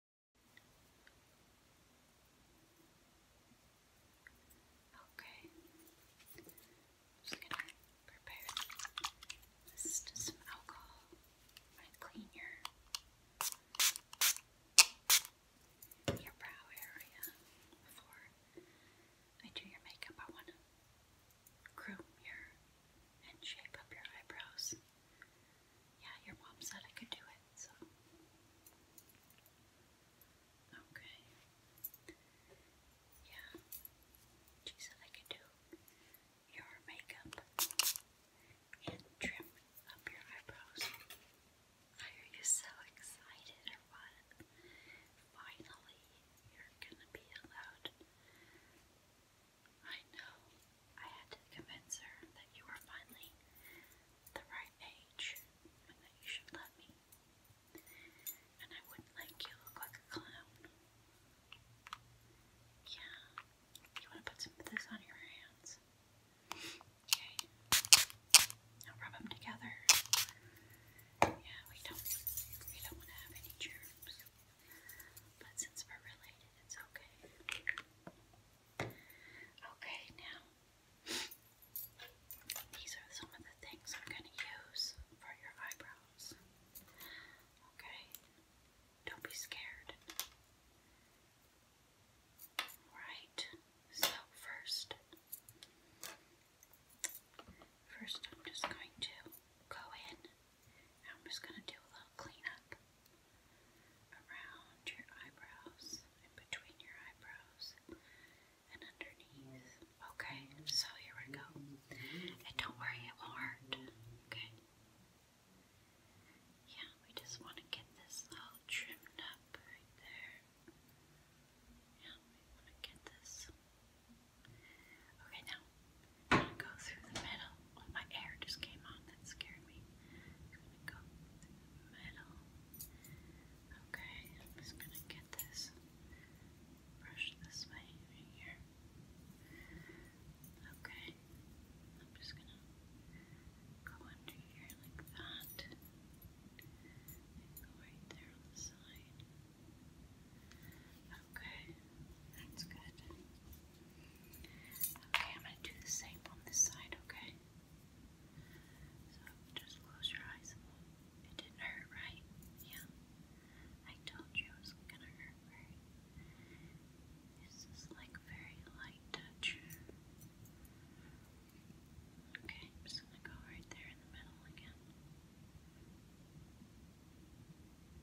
Okay. i just gonna prepare this to some alcohol. i clean your your brow area before I do your makeup. I wanna groom your and shape up your eyebrows yeah, your mom said I could do it, so. Okay. Yeah. She said I could do your makeup and trim up your eyebrows. are you so excited or what? Finally, you're gonna be allowed I know. I had to convince her that you were finally the right age and that you should love me. And I wouldn't like you look like a clown. Yeah. You want to put some of this on your hands? Okay. Now rub them together. Yeah, we don't we don't want to have any germs. But since we're related, it's okay. Okay, now these are some of the things I'm going to use for your eyebrows. Okay? Don't be scared. Right? So, first, first I'm just going to go in I'm just going to do a little cleanup around your eyebrows, in between your eyebrows, and underneath. Okay, so here we go. And don't worry, it won't hurt. Okay. Yeah, we just want to get this all trimmed up right there. Yeah, we want to get this. Okay, now I'm gonna go through the middle. Oh, my hair just came on, that scared me. I'm gonna go the middle. Okay, I'm just gonna get this brush this way here. Okay, I'm just gonna go under here like that. go right there on the side. Okay, that's good. Okay, I'm going to do the same on this side, okay? So just close your eyes It didn't hurt, right? Yeah. I told you it was going to hurt, This is like very light touch. Okay, I'm just going to go right there in the middle again.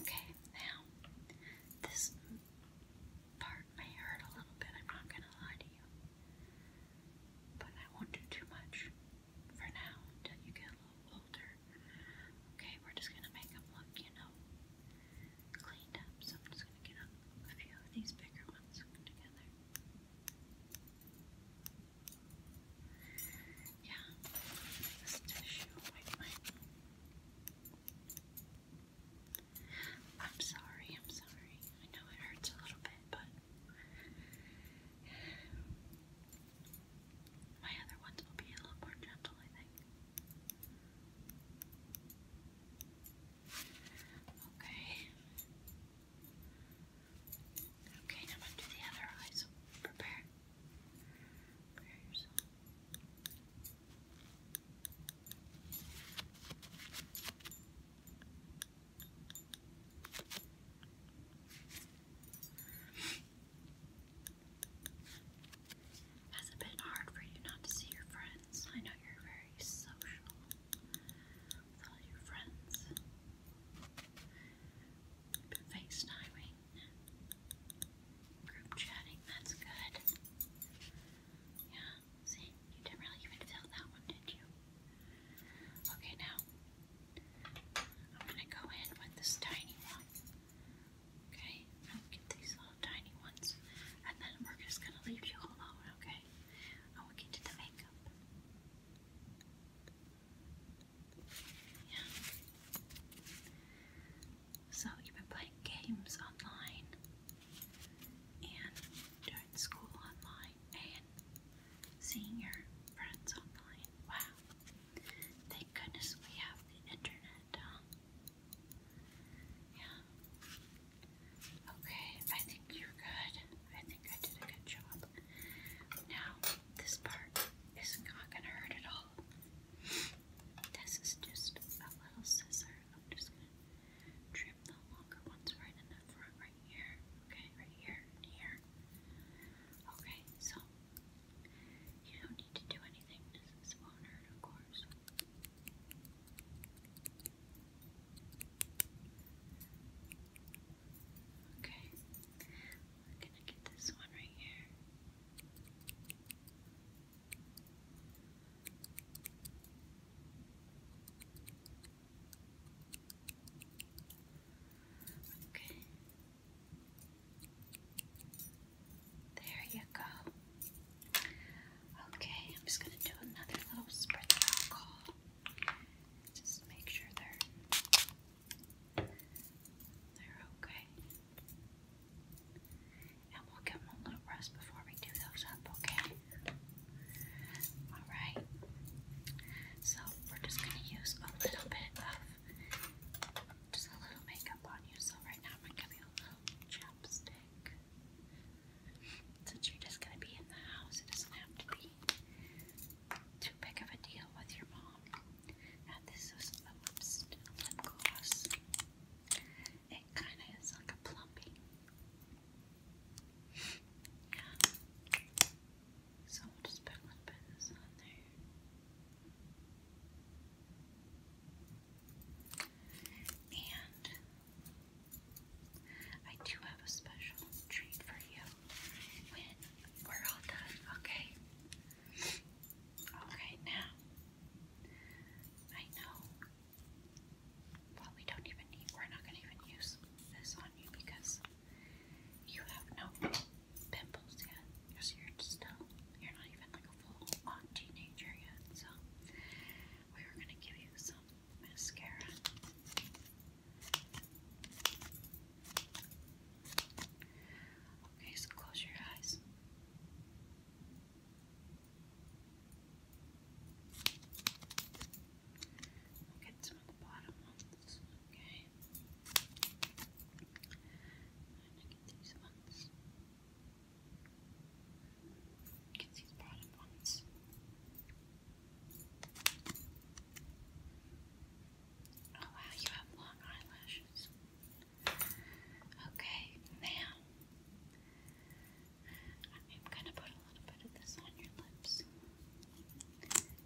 Okay, now this part may hurt a little bit, I'm not gonna lie to you. But I won't do too much for now until you get a little older. Okay, we're just gonna make them look, you know, cleaned up. So I'm just gonna get up a few of these bigger ones together. Yeah, this tissue ointment. I'm sorry, I'm sorry. I know it hurts a little bit, but my other ones will be a little more gentle, I think. Okay. Okay, now I'm going to do the other eye, prepare. Prepare yourself. That's a bit hard for you not to see your friends. I know you're very social with all your friends. FaceTiming. Group chatting, that's good. Yeah, see, you didn't really even feel that one, did you? Okay, now I'm gonna go in with this tiny one. Okay, I'll get these little tiny ones, and then we're just gonna leave you alone, okay? And will get to the makeup. So you've been playing games online and doing school online and seeing your friends online. Wow. Thank goodness we have the internet, Yeah. Okay, I think you're good. I think I did a good job. Now, this part is not going to hurt at all. This is just a little scissor. I'm just going to trim the longer ones right in the front, right here. Okay, right here here. Okay, so you don't need to do anything. This won't hurt, of course. Okay, I'm gonna get this one right here. Okay. There you go. Okay, I'm just going to do another little spritz of alcohol. Just make sure they're they're okay. And we'll give them a little rest before we do those up, okay? Alright. So we're just gonna use a little bit of just a little makeup on you. So right now I'm gonna give you a little chapstick. Since you're just going to be in the house, it doesn't have to be too big of a deal with your mom. Now, this is a lip, gloss. It kind of is like a plumping. Yeah. So we'll just put a bit of there. And I do have a special treat for you when we're all done, okay? Alright, now I know well we don't even need we're not gonna even use this on you because you have no pimples yet. Because you're still you're not even like a full on teenager yet, so we were gonna give you some mascara. Okay, so close your eyes. get some of the bottom ones, okay? i get these ones. You can bottom ones. Oh wow, you have long eyelashes. Okay, now I'm gonna put a little bit of this on your lips.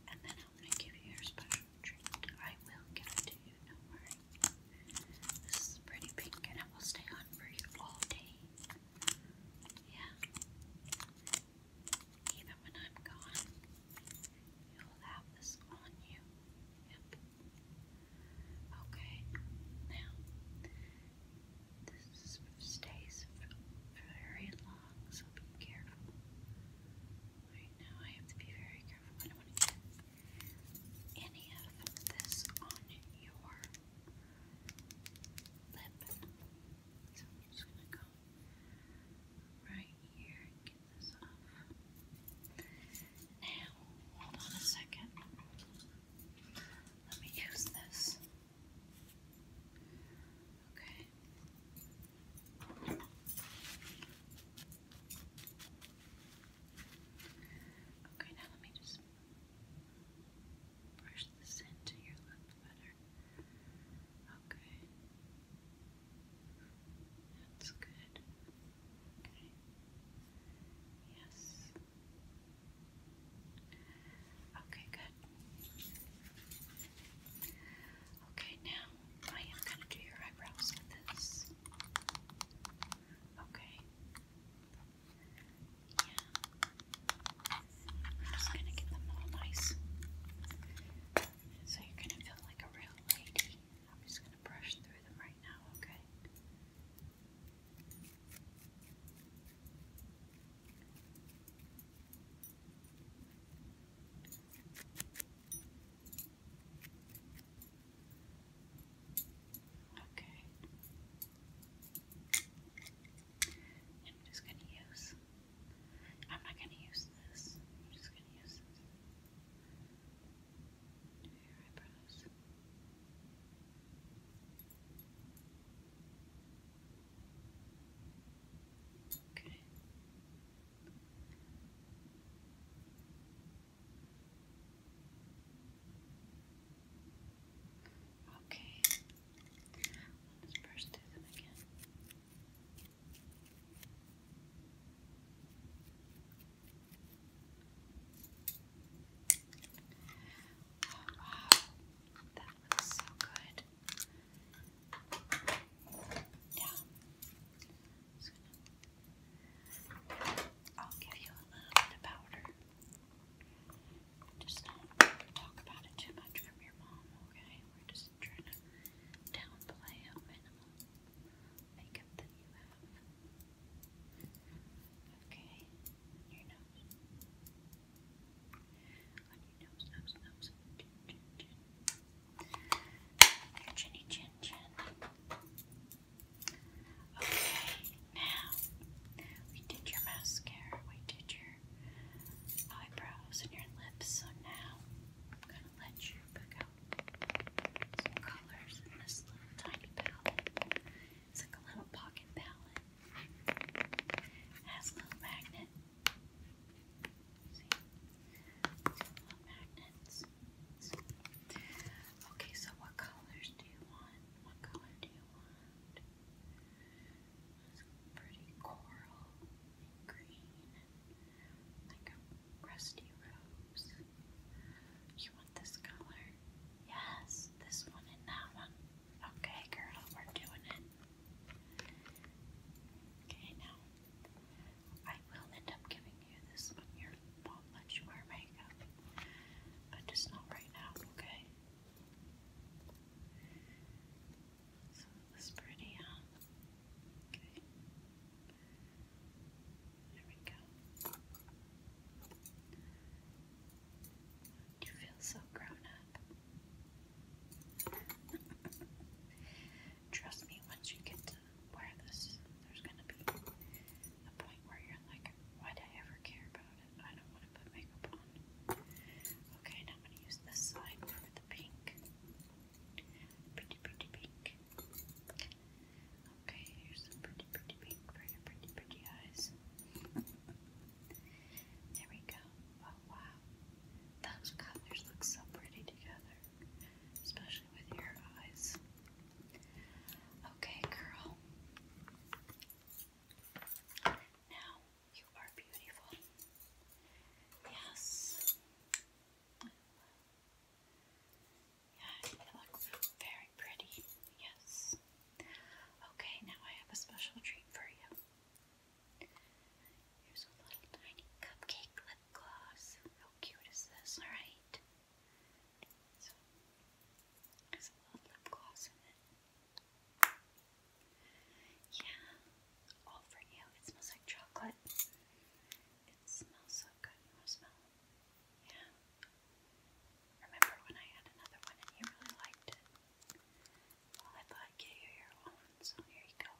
And then I'm gonna give you your special treat. I will give it to you, do worry. This is pretty pink and it will stay on for you all day. Yeah. Even when I'm gone, you'll have this on you. Yep. Okay. Now, this stays very long, so be careful. Right now, I have to be very careful. I don't want to get any of this on your lip. I'm just gonna go right here and get this off. Now, hold on a second. Let me use this. Okay. Okay, now let me just Brush this into your lip better. Okay. That's good. Okay. Yes. Okay, good. Okay, now I am going to do your eyebrows with this. Okay. I'm just gonna get them all nice. So you're gonna feel like a real lady. I'm just gonna brush through them right now, okay? Okay. I'm just going to use, I'm not going to use this. I'm just going to use Do your eyebrows. Okay. Okay, let's brush through them again. Oh, wow, that looks so good. Yeah just I'll give you a little bit of powder. Just not talk about it too much from your mom, okay? We're just trying to downplay a makeup that you have. Okay, on your nose. nose, nose, chinny chin chin. Okay, now we did your mascara, we did your eyebrows and your lips, so now I'm going to let you pick out some colors in this little tiny palette. It's like a little pocket palette. has a little magnet. See? Okay, so what colors do you want? What color do you want? pretty coral and green, like a rusty rose. You want this color? Yes, this one and that one. Okay, girl, we're doing it. Okay, now I will end up giving you this when your mom lets you wear makeup, but just not right now, okay? So that's pretty, huh? Okay. There we go. You feel so grown up. Trust me, once you get where this there's gonna be a point where you're like, why did I ever care about it? I don't want to put makeup on. Okay, now I'm gonna use this side for the pink. Pretty, pretty pink. Okay, here's some pretty, pretty pink for your pretty, pretty eyes. there we go. Oh wow, those colors look so pretty together especially with your eyes. Okay, girl. Now you are beautiful. Yes. Yeah, you look very pretty. Yes. Okay, now I have a special treat for you. Here's a little tiny cupcake lip gloss. How cute is this, alright? So, there's a little lip gloss Yeah, all for you. It smells like chocolate. It smells so good. You want to smell Yeah. Remember when I had another one and you really liked it? I thought I'd get you your own, so here you go.